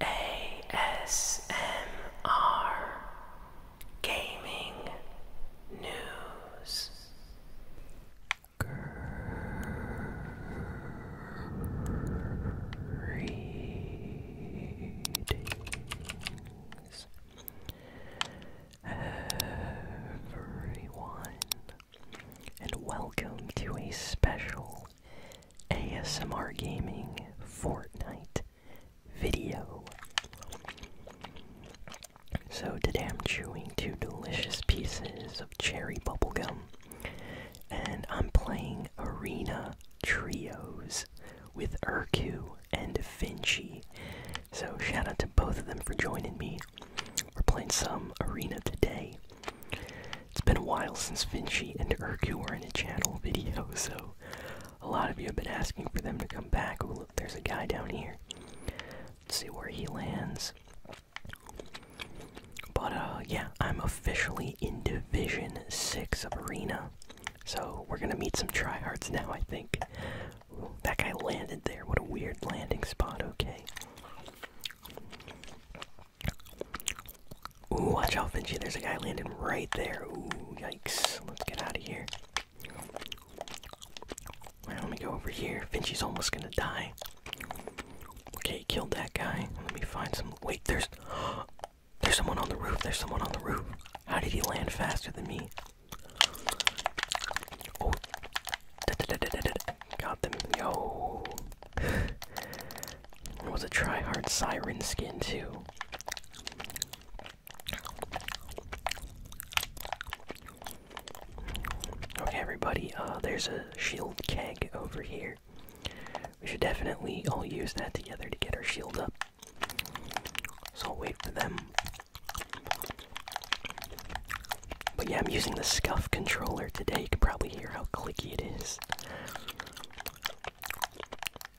ASMR Gaming News. Greetings, everyone, and welcome to a special ASMR Gaming Fortnite video. So today I'm chewing two delicious pieces of cherry bubblegum and I'm playing Arena Trios with Urku and Finchie. So shout out to both of them for joining me. We're playing some Arena today. It's been a while since Vinci and Urku were in a channel video, so a lot of you have been asking for them to come back. Oh, look, there's a guy down here. see where he lands. But, uh, yeah, I'm officially in Division 6 of Arena. So, we're gonna meet some tryhards now, I think. that guy landed there. What a weird landing spot, okay. Ooh, watch out, Finchy. There's a guy landing right there. Ooh, yikes. Let's get out of here. let me go over here. Finchy's almost gonna die. Okay, he killed that guy. Let me find some. Wait, there's. There's someone on the roof. There's someone on the roof. How did he land faster than me? Oh. Got them. Yo was a try-hard siren skin too. Okay, everybody. Uh, there's a shield keg over here. We should definitely all use that together to get our shield up. So I'll wait for them. But yeah, I'm using the scuff controller today. You can probably hear how clicky it is.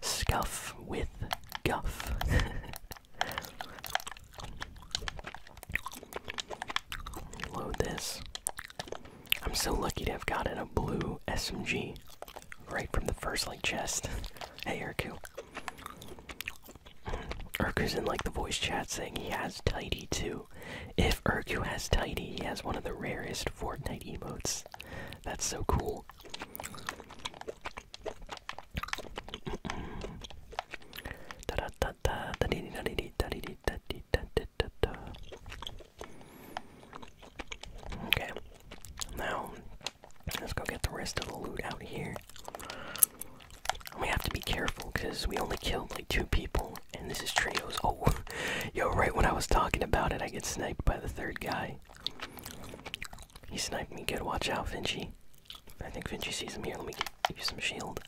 Scuff with guff. Load this. I'm so lucky to have gotten a blue SMG right from the first like chest. hey Urku. Urku's in like the voice chat saying he has Tidy too. If Urku has Tidy, he has one of the rarest Fortnite emotes. That's so cool. Okay, now let's go get the rest of the loot out here. We have to be careful because we only killed like two people and this is trios. Oh, yo! Right when I was talking about it, I get sniped by the third guy. He sniped me good. Watch out, Vinci. I think Vinci sees him here. Let me give you some shield.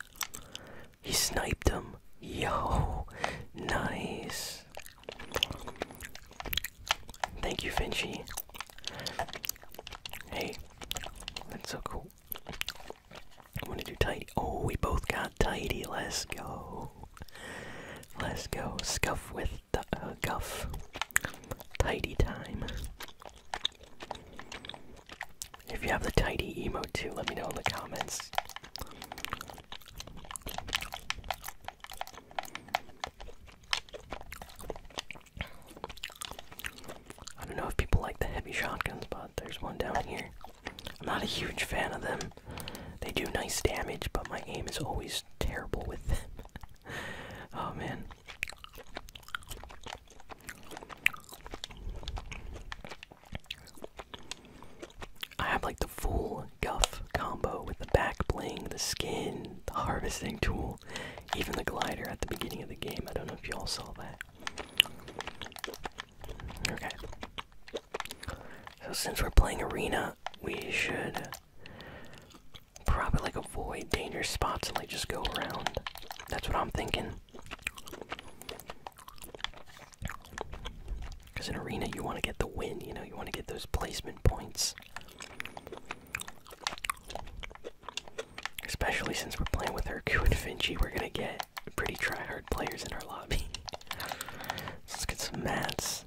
He sniped him. Yo, nice. Thank you, Vinci. Hey, that's so cool. I want to do tidy. Oh, we both got tidy. Let's go. Let's go. Scuff with the uh, guff. Tidy time. If you have the tidy emoji too, let me know in the comments. I don't know if people like the heavy shotguns, but there's one down here. I'm not a huge fan of them. They do nice damage, but my aim is always terrible with them. oh man. I have like the full guff combo with the back bling, the skin, the harvesting tool, even the glider at the beginning of the game. I don't know if y'all saw that. Okay. So since we're playing arena, we should probably like avoid dangerous spots and like just go around. That's what I'm thinking. Because in arena, you want to get the win, you know, you want to get those placement points. Especially since we're playing with Hercu and Finchi, we're gonna get pretty try-hard players in our lobby. Let's get some mats.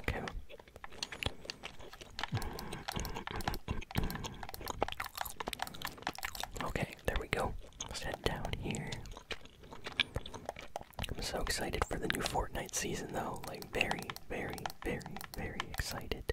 Okay. Okay, there we go. Let's head down here. I'm so excited for the new Fortnite season, though. Like, very, very, very, very excited.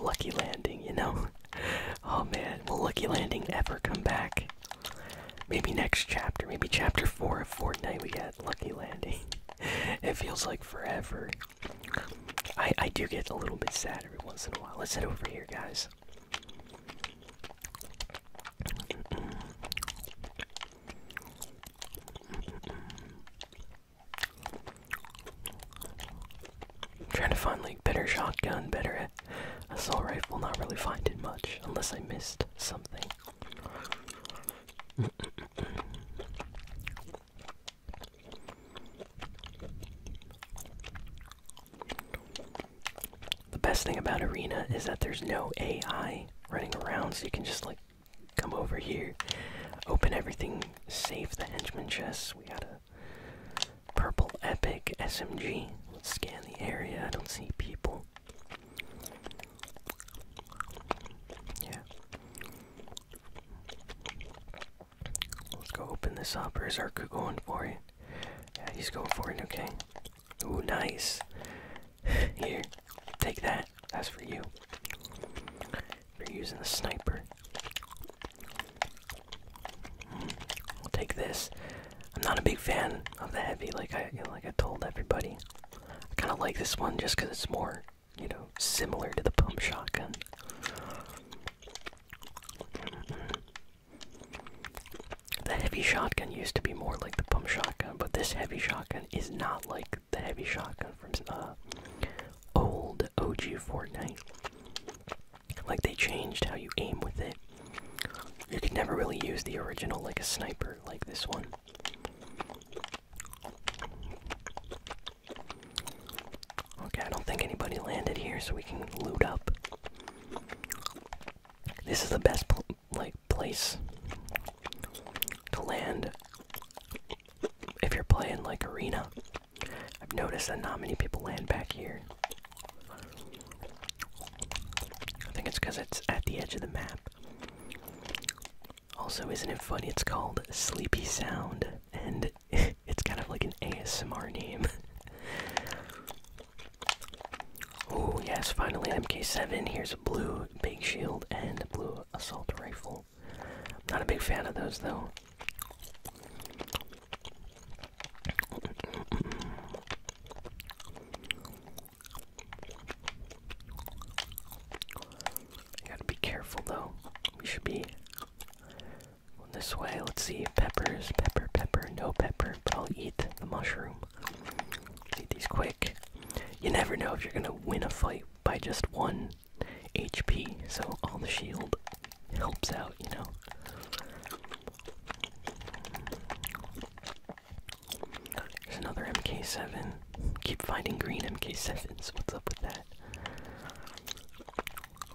lucky landing, you know? oh man, will lucky landing ever come back? Maybe next chapter, maybe chapter 4 of Fortnite we get lucky landing. it feels like forever. I, I do get a little bit sad every once in a while. Let's head over here, guys. I'm trying to find like better shotgun, better assault rifle, not really finding much unless I missed something. The best thing about Arena is that there's no AI running around, so you can just like come over here, open everything, save the henchman chests. We got a Purple Epic SMG. Let's scan the area. I don't see people. Yeah. Let's go open this up. Or is Arku going for it? Yeah, he's going for it, okay. Ooh, nice. Here, take that. That's for you. You're using the sniper i take this. I'm not a big fan of the heavy, like I like I told everybody. I kind of like this one just because it's more, you know, similar to the pump shotgun. The heavy shotgun used to be more like the pump shotgun, but this heavy shotgun is not like the heavy shotgun from uh, old OG Fortnite. Like they changed how you aim with it. You could never really use the original like a sniper like this one. Okay, I don't think anybody landed here, so we can loot up. This is the best like place to land if you're playing like arena. I've noticed that not many people land back here. I think it's because it's at the edge of the map. Also, isn't it funny? It's called Sleepy Sound, and it's kind of like an ASMR name. oh, yes, finally MK7. Here's a blue big shield and a blue assault rifle know. Not a big fan of those though. gotta be careful though. We should be on this way. Let's see. Peppers, pepper, pepper, no pepper, but I'll eat the mushroom. eat these quick. You never know if you're gonna win a fight by just one HP, so all the shield helps out, you know. There's another MK7. Keep finding green MK7s. What's up with that?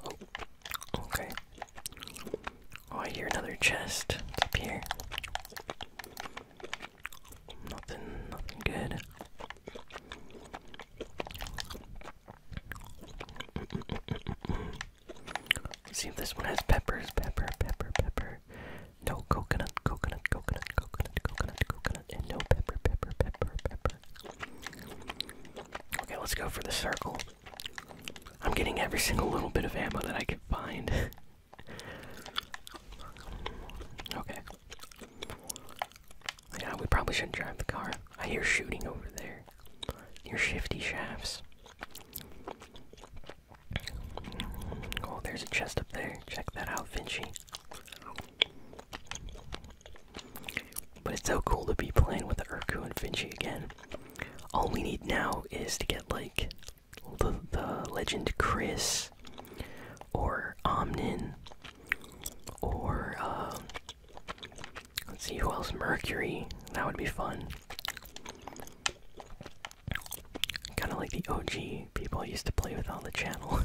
Oh, okay. Oh, I hear another chest. It's up here. Nothing, nothing good. See if this one has peppers. Pepper, pepper, pepper. No coconut, coconut, coconut, coconut, coconut, coconut, and no pepper, pepper, pepper, pepper. Okay, let's go for the circle. I'm getting every single little bit of ammo that I can find. okay. Yeah, we probably shouldn't drive the car. I hear shooting over there. Near shifty shafts. Oh, there's a chest up there. Check that out, Vinci. But it's so cool to be playing with the Urku and Vinci again. All we need now is to get like the the legend Chris or Omnin or, um, let's see who else. Mercury. That would be fun. Kind of like the OG people I used to play with on the channel,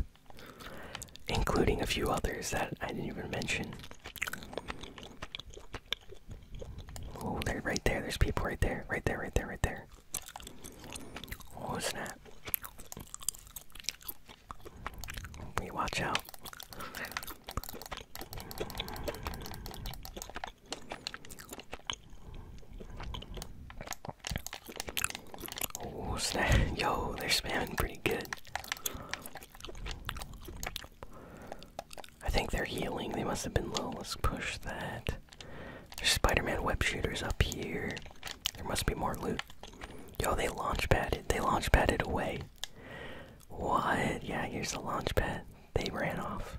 including a few others that I didn't even mention. Oh, they're right there. There's people right there. Right there, right there, right there. Oh, snap. We watch out. Oh snap! Yo, they're spamming pretty good. I think they're healing. They must have been low. Let's push that. Spider-Man web shooters up here. There must be more loot. Yo, they launch it. They launch padded away. What? Yeah, here's the launch pad. They ran off.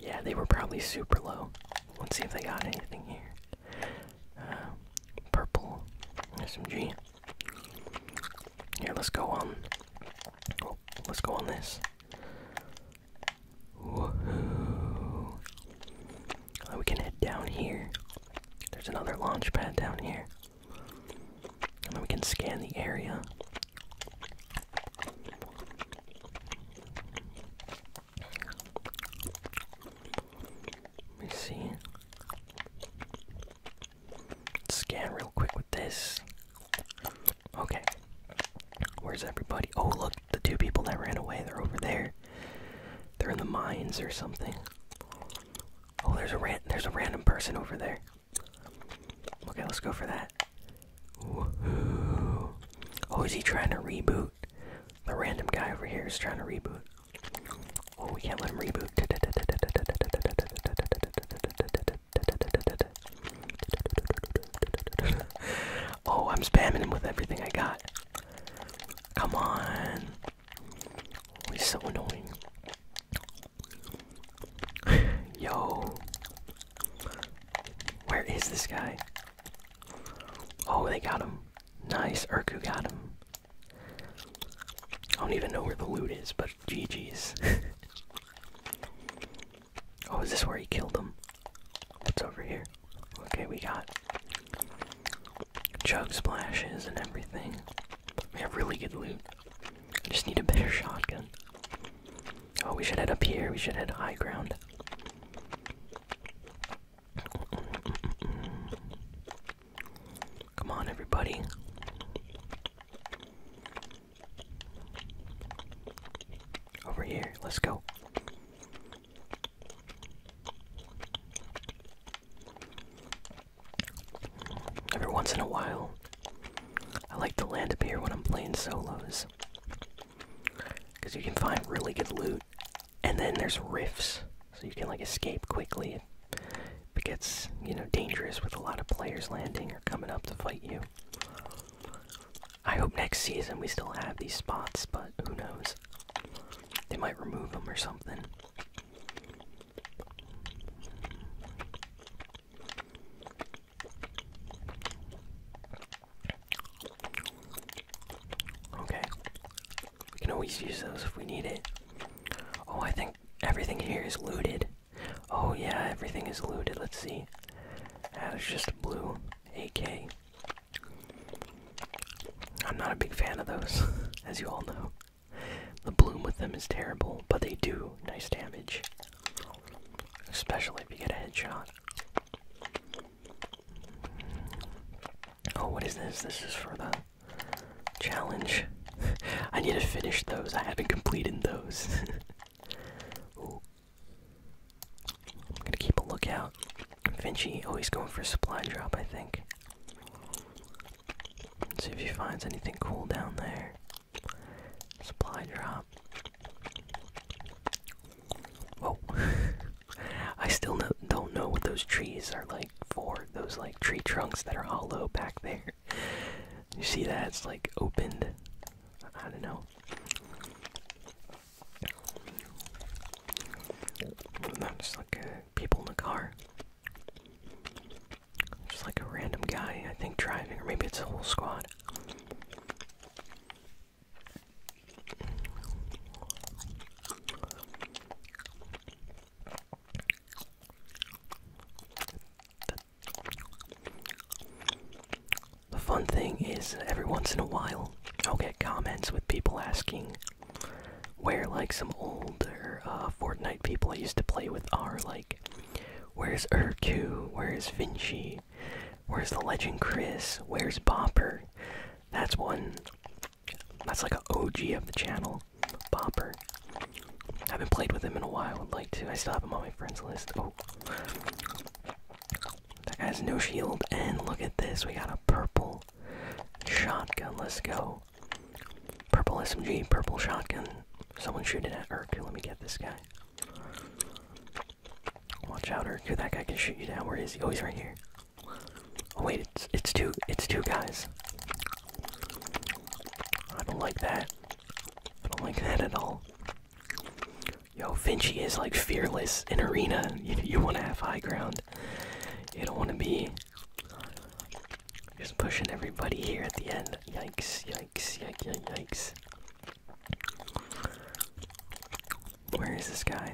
Yeah, they were probably super low. Let's see if they got anything here. Uh, purple SMG. Here, let's go on. let's go on this. Uh, we can head down here. There's another launch pad down here. And then we can scan the area. Let me see. Let's scan real quick with this. Okay. Where's everybody? Oh, look, the two people that ran away, they're over there. They're in the mines or something. Oh, there's a ran there's a random person over there. Okay, let's go for that. Oh, is he trying to reboot? The random guy over here is trying to reboot. Oh, we can't let him reboot. Oh, I'm spamming him with everything I got. Come on. He's so annoying. Yo. Where is this guy? Oh, they got him. Nice, Urku got him. I don't even know where the loot is, but GG's. oh, is this where he killed him? What's over here? Okay, we got chug splashes and everything. We have really good loot. I just need a better shotgun. Oh, we should head up here. We should head high ground. Come on, everybody. Over here, let's go. Every once in a while, I like to land up here when I'm playing solos. Because you can find really good loot, and then there's rifts, so you can like escape quickly if it gets, you know, dangerous with a lot of players landing or coming up to fight you. I hope next season we still have these spots, but who knows? They might remove them or something. Okay. We can always use those if we need it. Oh, I think everything here is looted. Oh, yeah, everything is looted. Let's see. Ah, there's just blue AK. I'm not a big fan of those, as you all know. The bloom with them is terrible, but they do nice damage. Especially if you get a headshot. Oh, what is this? This is for the challenge. I need to finish those. I haven't completed those. I'm gonna keep a lookout. Vinci always going for a supply drop, I think. see if he finds anything cool down there. Supply drop. Oh, I still don't know what those trees are like for. Those like tree trunks that are hollow back there. You see that? It's like opened. I don't know. Not like uh, people in the car. Just like a random guy, I think, driving, or maybe it's a whole squad. The fun thing is, every once in a while, I'll get comments with people asking where, like, some older uh, Fortnite people I used to play with are, like, where's Urku, where's Vinci, where's the legend Chris, where's Bopper? That's one, that's like an OG of the channel, Bopper. I haven't played with him in a while, I'd like to. I still have him on my friends list. Oh. That guy's no shield. And look at this. We got a purple shotgun. Let's go. Purple SMG, purple shotgun. Someone shooting at Urku. Let me get this guy. Watch out, Urku. That guy can shoot you down. Where is he? Oh, he's right here. Oh wait, it's it's two it's two guys. I don't like that. I don't like that at all. Yo, Vinci is like fearless in arena. You, want to have high ground. You don't want to be just pushing everybody here at the end. Yikes, yikes, yikes, yikes. Where is this guy?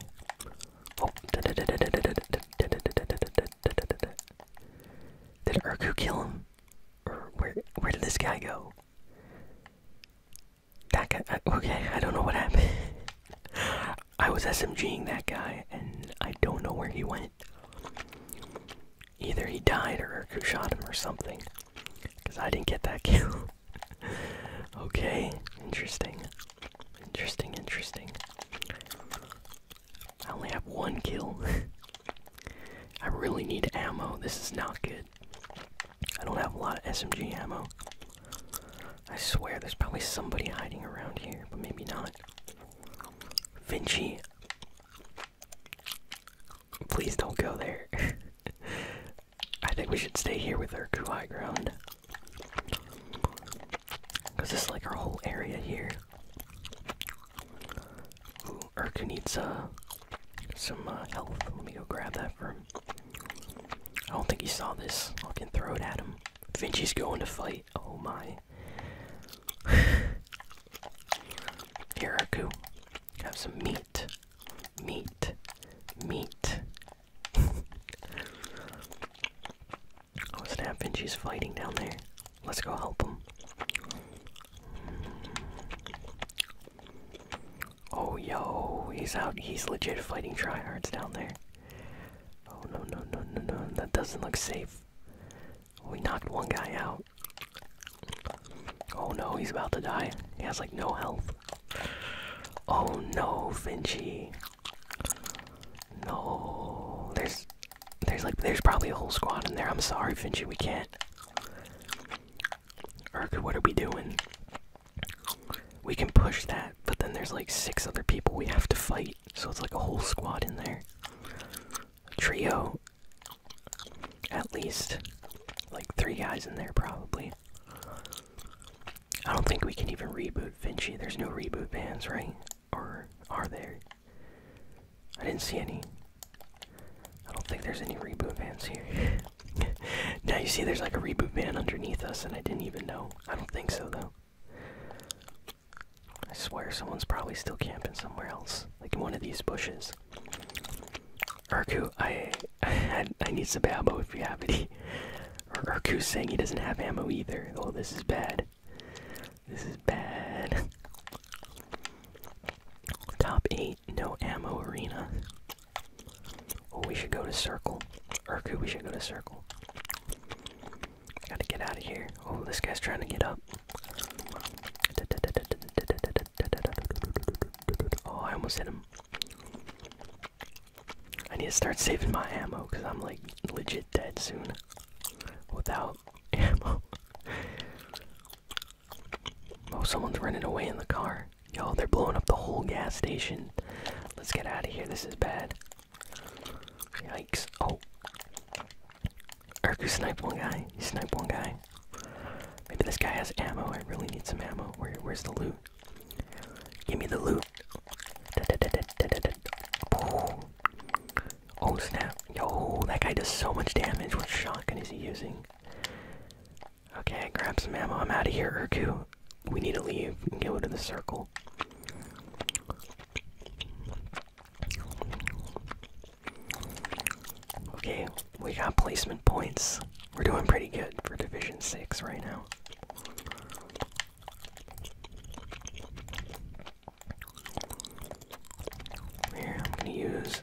did Urku kill him? where, where did this guy go? That guy. Okay, I don't know what happened. I was smg-ing that guy, and I don't know where he went. Either he died or who shot him or something. Because I didn't get that kill. okay, interesting. Interesting, interesting. I only have one kill. I really need ammo. This is not good. I don't have a lot of SMG ammo. I swear there's probably somebody hiding around here, but maybe not. Vinci. Please don't go there. I think we should stay here with our crew high ground. Because this is like our whole area here. Urku needs some uh, health. Let me go grab that for him. I don't think he saw this. I can throw it at him. Vinci's going to fight. Oh my. Here, Urku. Have some meat. Meat. Meat. oh snap, Vinci's fighting down there. Let's go help him. Oh yo, he's out. He's legit fighting tryhards down there. Oh no no no no no! That doesn't look safe. We knocked one guy out. Oh no, he's about to die. He has like no health. Oh no, Finchy. No, there's, there's like, there's probably a whole squad in there. I'm sorry, Finchy, we can't. Urk, what are we doing? We can push that, but then there's like six other people we have to fight, so it's like a whole squad in there. trio. At least. Like three guys in there, probably. I don't think we can even reboot Vinci. There's no reboot bans, right? Or are there? I didn't see any. I don't think there's any reboot vans here. now you see there's like a reboot van underneath us, and I didn't even know. I don't think so, though. I swear someone's probably still camping somewhere else, like in one of these bushes. Urku, I, I, need some ammo if you have any. Or Urku's saying he doesn't have ammo either. Oh, this is bad. This is bad. Top 8, no ammo arena. Oh, we should go to circle. Urku, we should go to circle. Gotta get out of here. Oh, this guy's trying to get up. Oh, I almost hit him. I need to start saving my ammo because I'm like legit dead soon without ammo. Oh, someone's running away in the car. Yo, they're blowing up the whole gas station. Let's get out of here. This is bad. Yikes. Oh. Urku sniped one guy. He sniped one guy. Maybe this guy has ammo. I really need some ammo. Where, where's the loot? Give me the loot. oh snap. Yo, that guy does so much damage. What shotgun is he using? Okay, grab some ammo. I'm out of here, Urku. We need to leave and get out of the circle. Okay, we got placement points. We're doing pretty good for Division 6 right now. Here, I'm gonna use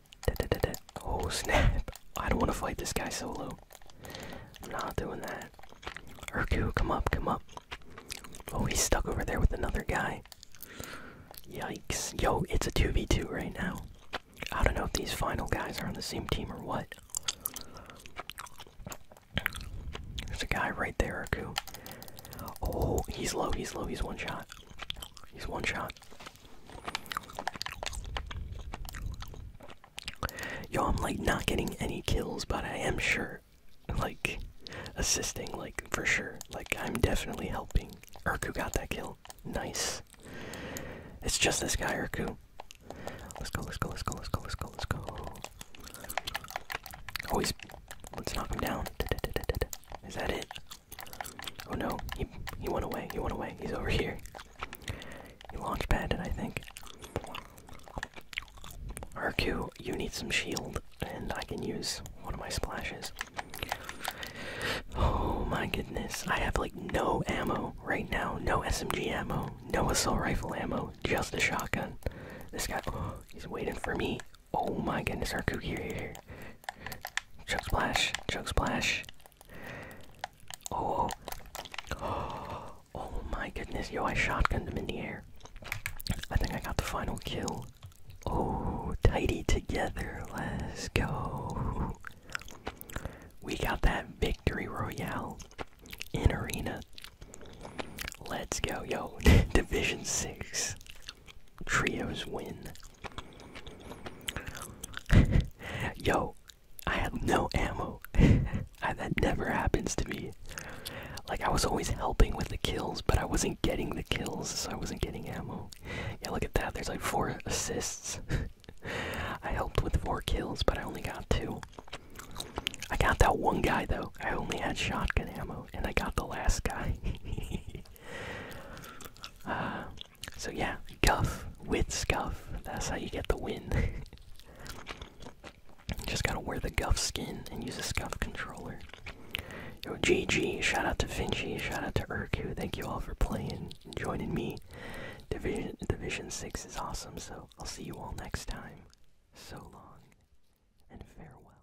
Oh snap! I don't want to fight this guy solo. I'm not doing that. Urku, come up, come up. Oh, he's stuck over there with another guy. Yikes. Yo, it's a 2v2 right now. I don't know if these final guys are on the same team or what. There's a guy right there, Urku. Oh, he's low, he's low, he's one shot. He's one shot. Yo, I'm like not getting any kills, but I am sure like assisting like for sure. Like I'm definitely helping. Urku got that kill. Nice. It's just this guy, Urku. Let's go, let's go, let's go, let's go, let's go, let's go. Always oh, let's knock him down. Da -da -da -da -da. Is that it? Oh no, he he went away. He went away. He's over here. He launch padded, I think. RQ, you need some shield, and I can use one of my splashes. Oh my goodness, I have like no ammo right now. No SMG ammo, no assault rifle ammo, just a shotgun. This guy, oh, he's waiting for me. Oh my goodness, our cookie here. choke splash, choke splash. oh, oh my goodness, yo, I shotgunned him in the air. I think I got the final kill. Oh, tidy together, let's go. We got that victory royale in arena. Let's go, yo, Division 6. Trios win. Yo, I have no ammo. that never happens to me. Like, I was always helping with the kills, but I wasn't getting the kills, so I wasn't getting ammo. Yeah, look at that. There's like four assists. I helped with four kills, but I only got two. I got that one guy, though. I only had shotgun ammo, and I got the last guy so yeah, guff with scuff. That's how you get the win. Just gotta wear the guff skin and use a scuff controller. Yo, GG, shout out to Finchy, shout out to Urku, thank you all for playing joining me. Division Division 6 is awesome, so I'll see you all next time. So long and farewell.